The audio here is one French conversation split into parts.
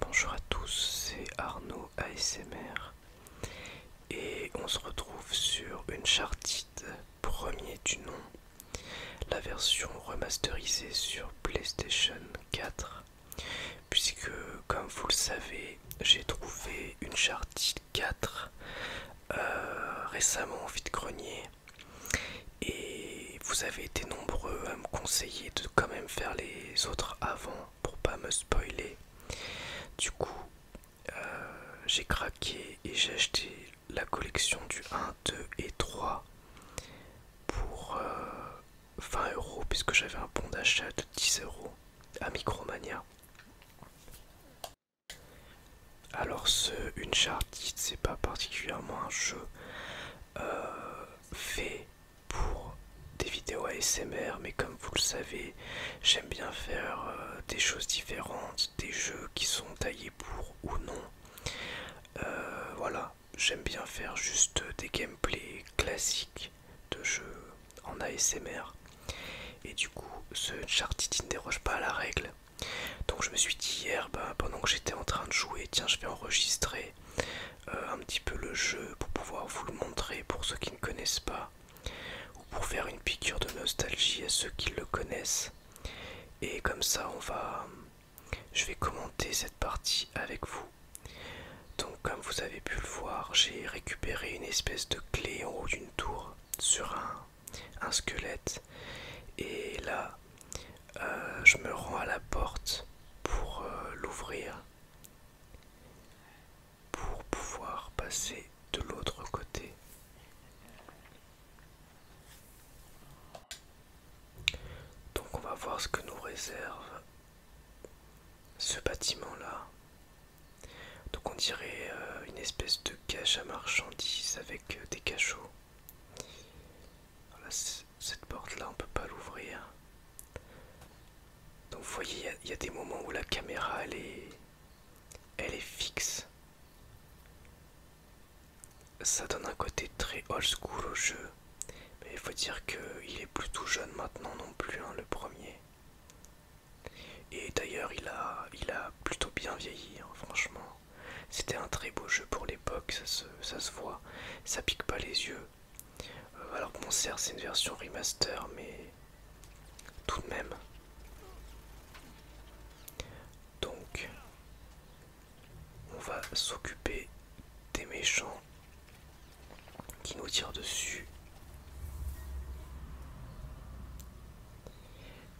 Bonjour à tous, c'est Arnaud ASMR et on se retrouve sur une chartite premier du nom, la version remasterisée sur PlayStation 4 puisque comme vous le savez j'ai trouvé une chartie 4 euh, récemment récemment au de grenier Et vous avez été nombreux à me conseiller de quand même faire les autres avant pour pas me spoiler. Du coup, euh, j'ai craqué et j'ai acheté la collection du 1, 2 et 3 pour 20 euh, euros puisque j'avais un bon d'achat de 10 euros à Micromania. Alors ce Uncharted, c'est pas particulièrement un jeu euh, fait pour des vidéos ASMR, mais comme vous le savez, j'aime bien faire euh, des choses différentes, des jeux qui sont taillés pour ou non. Euh, voilà, j'aime bien faire juste des gameplays classiques de jeu en ASMR. Et du coup, ce Uncharted ne déroge pas à la règle. Donc je me suis dit hier, ben, pendant que j'étais en train de jouer, tiens, je vais enregistrer euh, un petit peu le jeu pour pouvoir vous le montrer pour ceux qui ne connaissent pas. Ou pour faire une piqûre de nostalgie à ceux qui le connaissent. Et comme ça, on va... Je vais commenter cette partie avec vous comme vous avez pu le voir, j'ai récupéré une espèce de clé en haut d'une tour sur un, squelette. Et là, euh, je me rends à la porte pour euh, l'ouvrir. Pour pouvoir passer de l'autre côté. Donc on va voir ce que nous réserve ce bâtiment là. Donc on dirait euh, une espèce de cache à marchandises avec euh, des cachots. cette porte là on peut pas l'ouvrir. Donc vous voyez, il y, a des moments où la caméra elle est, elle est fixe. Ça donne un côté très old school au jeu. Mais il faut dire qu'il est plutôt jeune maintenant non plus, hein, le premier. Et d'ailleurs, il a, il a plutôt bien vieilli, hein, franchement. C'était un très beau jeu pour l'époque, ça se, voit, ça pique pas les yeux. Euh, alors que mon c'est une version remaster, mais tout de même. Donc, on va s'occuper des méchants qui nous tire dessus.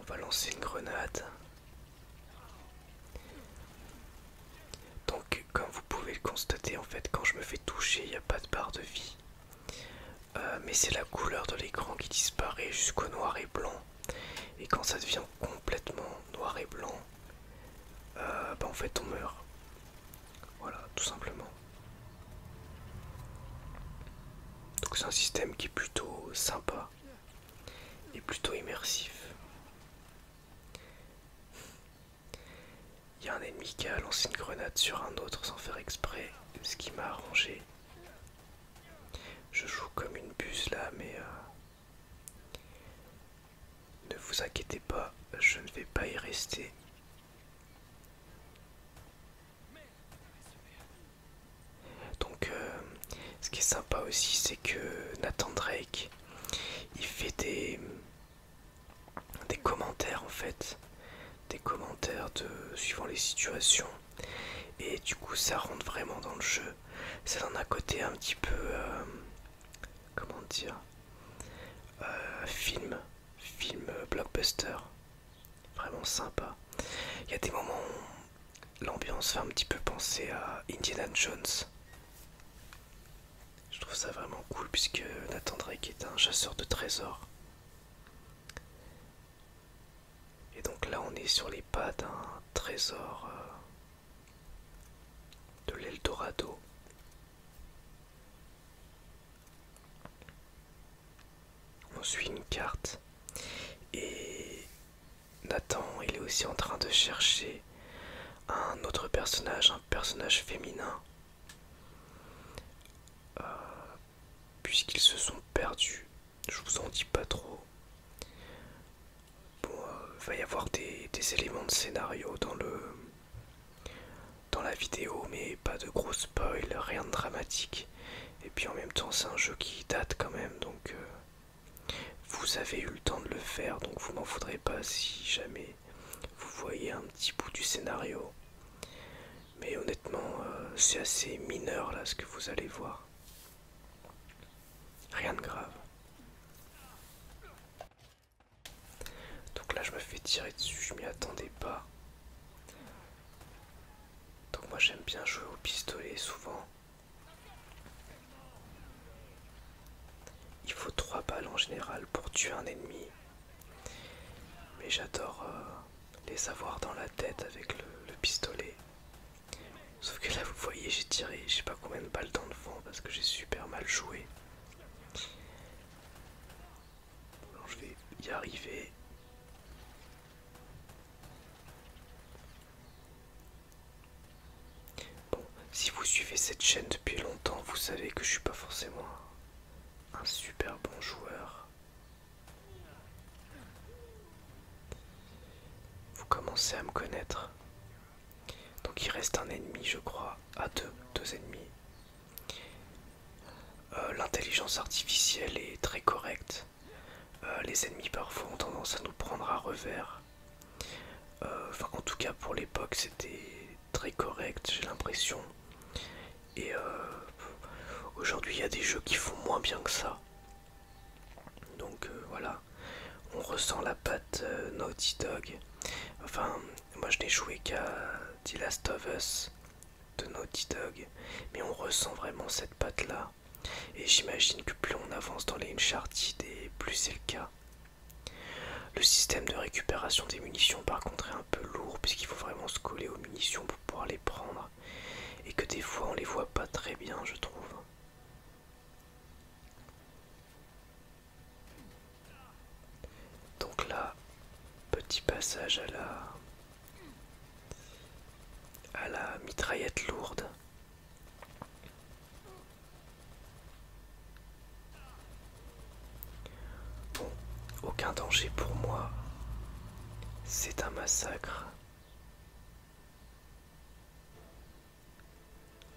On va lancer une grenade. Donc comme vous pouvez le constater en fait quand je me fais toucher il n'y a pas de barre de vie. Euh, mais c'est la couleur de l'écran qui disparaît jusqu'au noir et blanc. Et quand ça devient complètement noir et blanc, euh, bah, en fait on meurt. Voilà, tout simplement. Donc c'est un système qui est plutôt sympa et plutôt immersif. Il y a un ennemi qui a lancé une grenade sur un autre sans faire exprès, ce qui m'a arrangé. Je joue comme une buse là, mais euh, ne vous inquiétez pas, je ne vais pas y rester. Donc euh, ce qui est sympa aussi c'est que Nathan Drake il fait des, commentaires en fait des commentaires de suivant les situations et du coup ça rentre vraiment dans le jeu ça donne un côté un petit peu euh, comment dire euh, film film blockbuster, vraiment sympa. Il y a des moments où l'ambiance fait un petit peu penser à Indiana Jones. Je trouve ça vraiment cool puisque Nathan Drake est un chasseur de trésors. Et donc là on est sur les pas d'un trésor euh, de l'Eldorado. On suit une carte et Nathan, il est aussi en train de chercher un autre personnage, un personnage féminin, euh, puisqu'ils se sont perdus. Je vous en dis pas trop. Bon, il euh, va y avoir des éléments de scénario dans le dans la vidéo, mais pas de gros spoil, rien de dramatique. Et puis en même temps, c'est un jeu qui date quand même, donc euh, vous avez eu le temps de le faire, donc vous m'en voudrez pas si jamais vous voyez un petit bout du scénario. Mais honnêtement, euh, c'est assez mineur là ce que vous allez voir. Rien de grave. Donc là, je me fais tirer dessus, je m'y attendais pas. Donc moi, j'aime bien jouer au pistolet souvent. Il faut trois balles en général pour tuer un ennemi. Mais j'adore euh, les avoir dans la tête avec le, pistolet. Sauf que là, vous voyez, j'ai tiré, je sais pas combien de balles dans le vent parce que j'ai super mal joué je vais y arriver. Bon, si vous suivez cette chaîne depuis longtemps, vous savez que je suis pas forcément un super bon joueur. Vous commencez à me connaître. Donc il reste un ennemi, je crois, à ah, deux, deux ennemis. Euh, l'intelligence artificielle est très correcte. Euh, les ennemis parfois ont tendance à nous prendre à revers. Euh, enfin, en tout cas pour l'époque, c'était très correct, j'ai l'impression. Et aujourd'hui, il y a des jeux qui font moins bien que ça. Donc voilà, on ressent la patte Naughty Dog. Enfin, moi je n'ai joué qu'à The Last of Us de Naughty Dog, mais on ressent vraiment cette patte là. Et j'imagine que plus on avance dans les Uncharted, et plus c'est le cas. Le système de récupération des munitions par contre est un peu lourd puisqu'il faut vraiment se coller aux munitions pour pouvoir les prendre et que des fois on les voit pas très bien je trouve. Donc là, petit passage à la à la mitraillette lourde. Bon, aucun danger pour moi. C'est un massacre.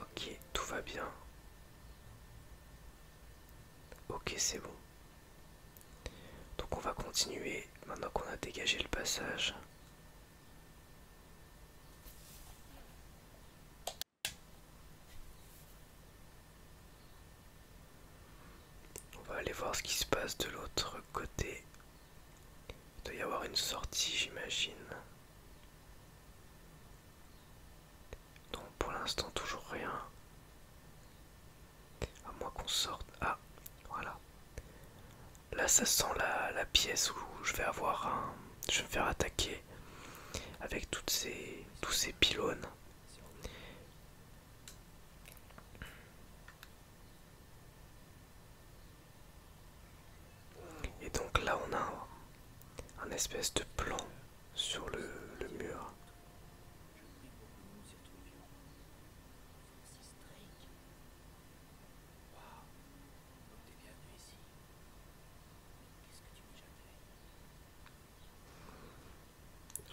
Ok, tout va bien. Ok, c'est bon. Donc on va continuer maintenant qu'on a dégagé le passage. On va aller voir ce qui se passe de l'autre côté. Il doit y avoir une sortie, j'imagine. Donc pour l'instant, toujours rien. À moins qu'on sorte. Ah, voilà. Là, ça sent la, pièce où je vais avoir un. Je vais me faire attaquer avec toutes ces, tous ces pylônes. Et donc là, on a un espèce de plan sur le, mur.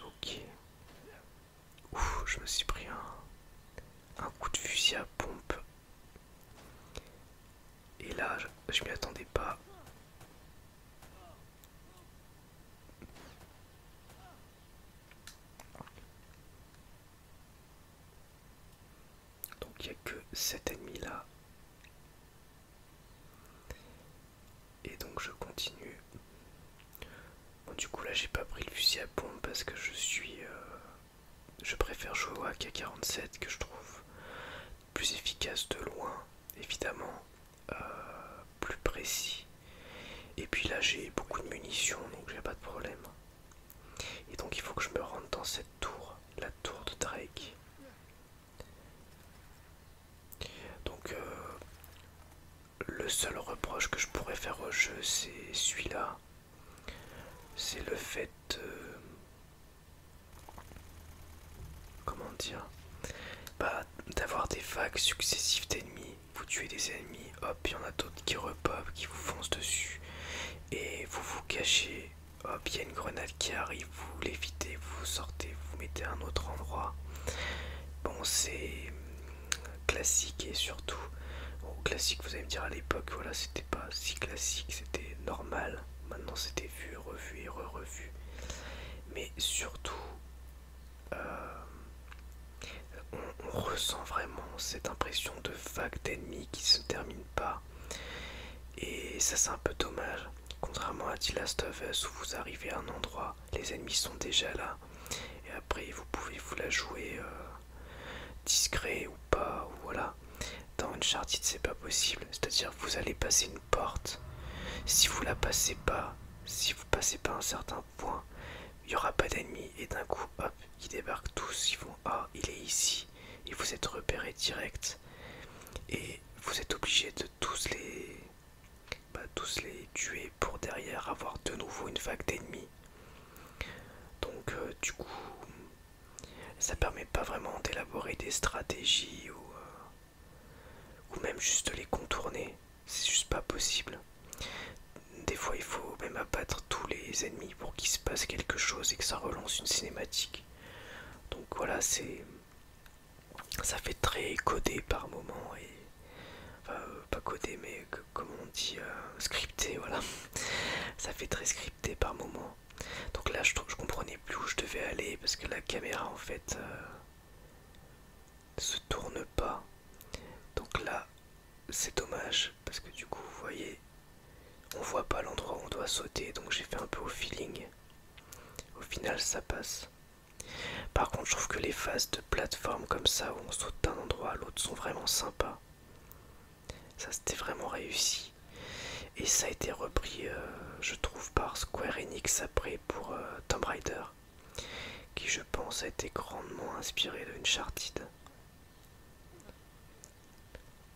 Ok. je me suis pris un, un coup de fusil à pompe. Et là, je m'y attendais pas. Donc il n'y a que cet ennemi là. Et donc je continue. Bon du coup là j'ai pas pris le fusil à pompe parce que je suis... Euh, je préfère jouer au AK-47 que je trouve plus efficace de loin, évidemment, euh, plus précis. Et puis là, j'ai beaucoup de munitions, donc j'ai pas de problème. Et donc, il faut que je me rende dans cette tour, la tour de Drake. Donc, euh, le seul reproche que je pourrais faire au jeu, c'est celui-là. C'est le fait euh, Comment dire Bah, d'avoir des vagues successives d'ennemis. Vous tuez des ennemis, hop, il y en a d'autres qui repopent, qui vous foncent dessus. Et vous vous cachez, hop, il y a une grenade qui arrive, vous l'évitez, vous sortez, vous, mettez à un autre endroit. Bon, c'est classique et surtout, bon, classique, vous allez me dire à l'époque, voilà, c'était pas si classique, c'était normal. Maintenant, c'était vu, revu et re-revu. Mais surtout, euh, on, ressent vraiment cette impression de vague d'ennemis qui se termine pas. Et ça, c'est un peu dommage. Contrairement à The Last of Us où vous arrivez à un endroit, les ennemis sont déjà là. Et après, vous pouvez vous la jouer euh, discret ou pas, ou voilà. Dans une Uncharted, c'est pas possible. C'est-à-dire, vous allez passer une porte. Si vous la passez pas, si vous passez pas un certain point, il y aura pas d'ennemis et d'un coup, hop, ils débarquent tous, ils vont Ah, il est ici, et vous êtes repéré direct. Et vous êtes obligé de tous les. Bah, tous les tuer pour derrière avoir de nouveau une vague d'ennemis. Donc, euh, du coup, ça permet pas vraiment d'élaborer des stratégies ou. Euh, ou même juste les contourner, c'est juste pas possible. Des fois il faut même abattre tous les ennemis pour qu'il se passe quelque chose et que ça relance une cinématique. Donc voilà, c'est... Ça fait très codé par moment et... Enfin, euh, pas codé mais comment comme on dit, euh, scripté, voilà. Ça fait très scripté par moment donc là, je, je comprenais plus où je devais aller parce que la caméra en fait euh, se tourne pas. Donc là, c'est dommage parce que du coup, vous voyez, on voit pas l'endroit où on doit sauter. Donc j'ai fait un peu au feeling. Au final, ça passe. Par contre, je trouve que les phases de plateforme comme ça où on saute d'un endroit à l'autre sont vraiment sympas. Ça, c'était vraiment réussi. Et ça a été repris, euh, je trouve, par Square Enix après pour euh, Tomb Raider, qui je pense a été grandement inspiré de Uncharted.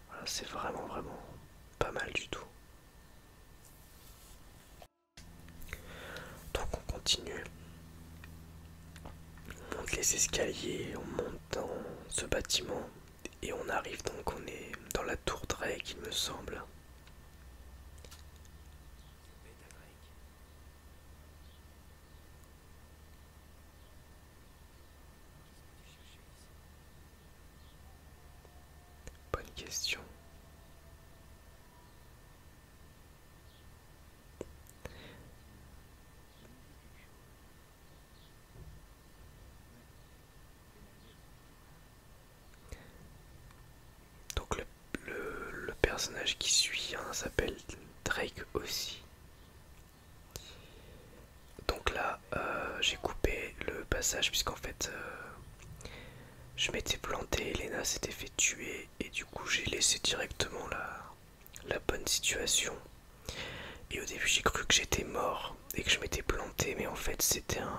Voilà, c'est vraiment, vraiment pas mal du tout. Donc on continue. On monte les escaliers, on monte dans ce bâtiment et on arrive donc, on est dans la tour Drake, il me semble. Bonne question. Donc le, personnage qui suit hein, s'appelle Drake aussi. Donc là, euh, j'ai coupé le passage puisqu'en fait, euh, je m'étais planté, Elena s'était fait tuer et du coup j'ai laissé directement la bonne situation. Et au début j'ai cru que j'étais mort et que je m'étais planté mais en fait c'était un...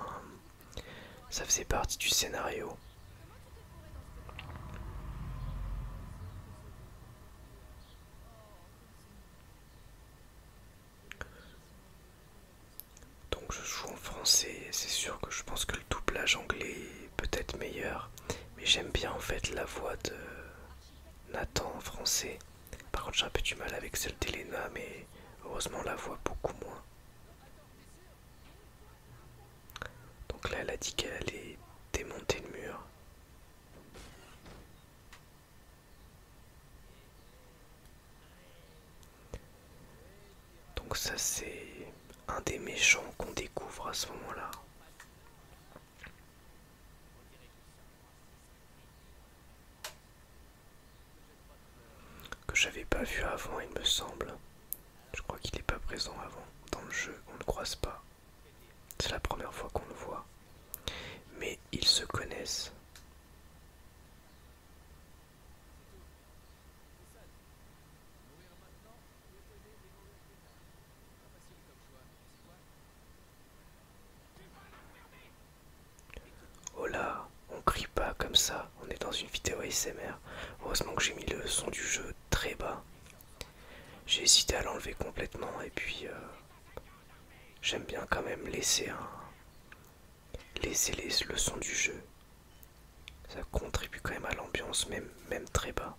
ça faisait partie du scénario. Donc je joue en français, c'est sûr que je pense que le doublage anglais est peut-être meilleur, mais j'aime bien en fait la voix de Nathan en français. Par contre j'ai un peu du mal avec celle d'Elena mais heureusement on la voit beaucoup moins. Donc là elle a dit qu'elle allait démonter le mur. Donc ça c'est un des méchants qu'on découvre à ce moment-là que j'avais pas vu avant il me semble. Je crois qu'il n'est pas présent avant. Dans le jeu, on ne croise pas. C'est la première fois qu'on le voit. Mais ils se connaissent. Oh là, on crie pas comme ça, on est dans une vidéo ASMR. Heureusement que j'ai mis le son du jeu très bas. J'ai hésité à l'enlever complètement et puis euh, j'aime bien quand même laisser un laisser le son du jeu. Ça contribue quand même à l'ambiance, même, même très bas.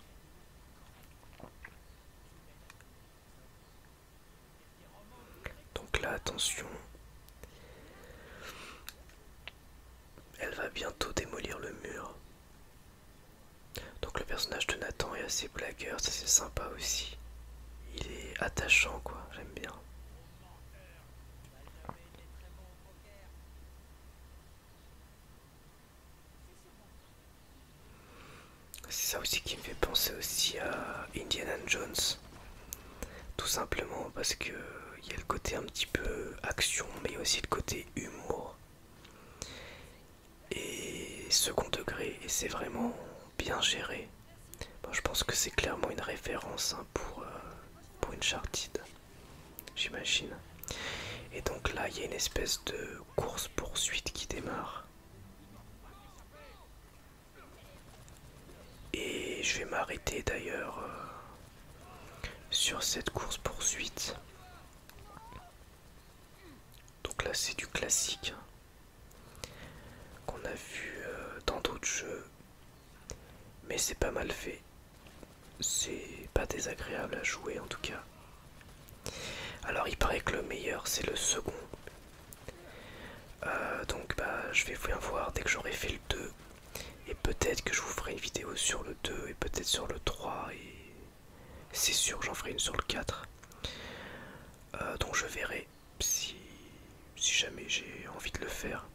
Donc là, attention. Elle va bientôt démolir le mur. Donc le personnage de Nathan est assez blagueur, ça c'est sympa aussi. Il est attachant quoi, j'aime bien. C'est ça aussi qui me fait penser aussi à Indiana Jones. Tout simplement parce que il y a le côté un petit peu action, mais aussi le côté humour et second degré, et c'est vraiment bien géré. je pense que c'est clairement une référence hein, pour, euh, pour une chartide, j'imagine. Et donc là, il y a une espèce de course-poursuite qui démarre. Et je vais m'arrêter d'ailleurs euh, sur cette course poursuite. Donc là c'est du classique hein, qu'on a vu euh, dans d'autres jeux. Mais c'est pas mal fait. C'est pas désagréable à jouer en tout cas. Alors il paraît que le meilleur c'est le second euh, donc bah je vais voir dès que j'aurai fait le 2 et peut-être que je vous ferai une vidéo sur le 2 et peut-être sur le 3 et c'est sûr j'en ferai une sur le 4 euh, donc je verrai si, si jamais j'ai envie de le faire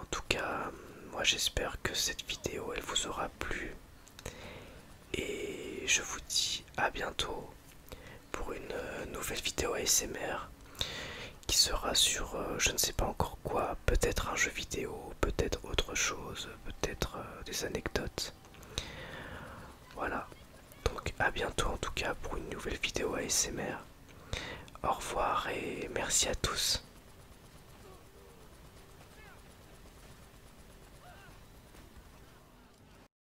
en tout cas moi j'espère que cette vidéo elle vous aura plu et je vous dis à bientôt pour une euh, nouvelle vidéo ASMR qui sera sur euh, je ne sais pas encore quoi, peut-être un jeu vidéo, peut-être autre chose, peut-être euh, des anecdotes. Voilà, donc à bientôt en tout cas pour une nouvelle vidéo ASMR. Au revoir et merci à tous.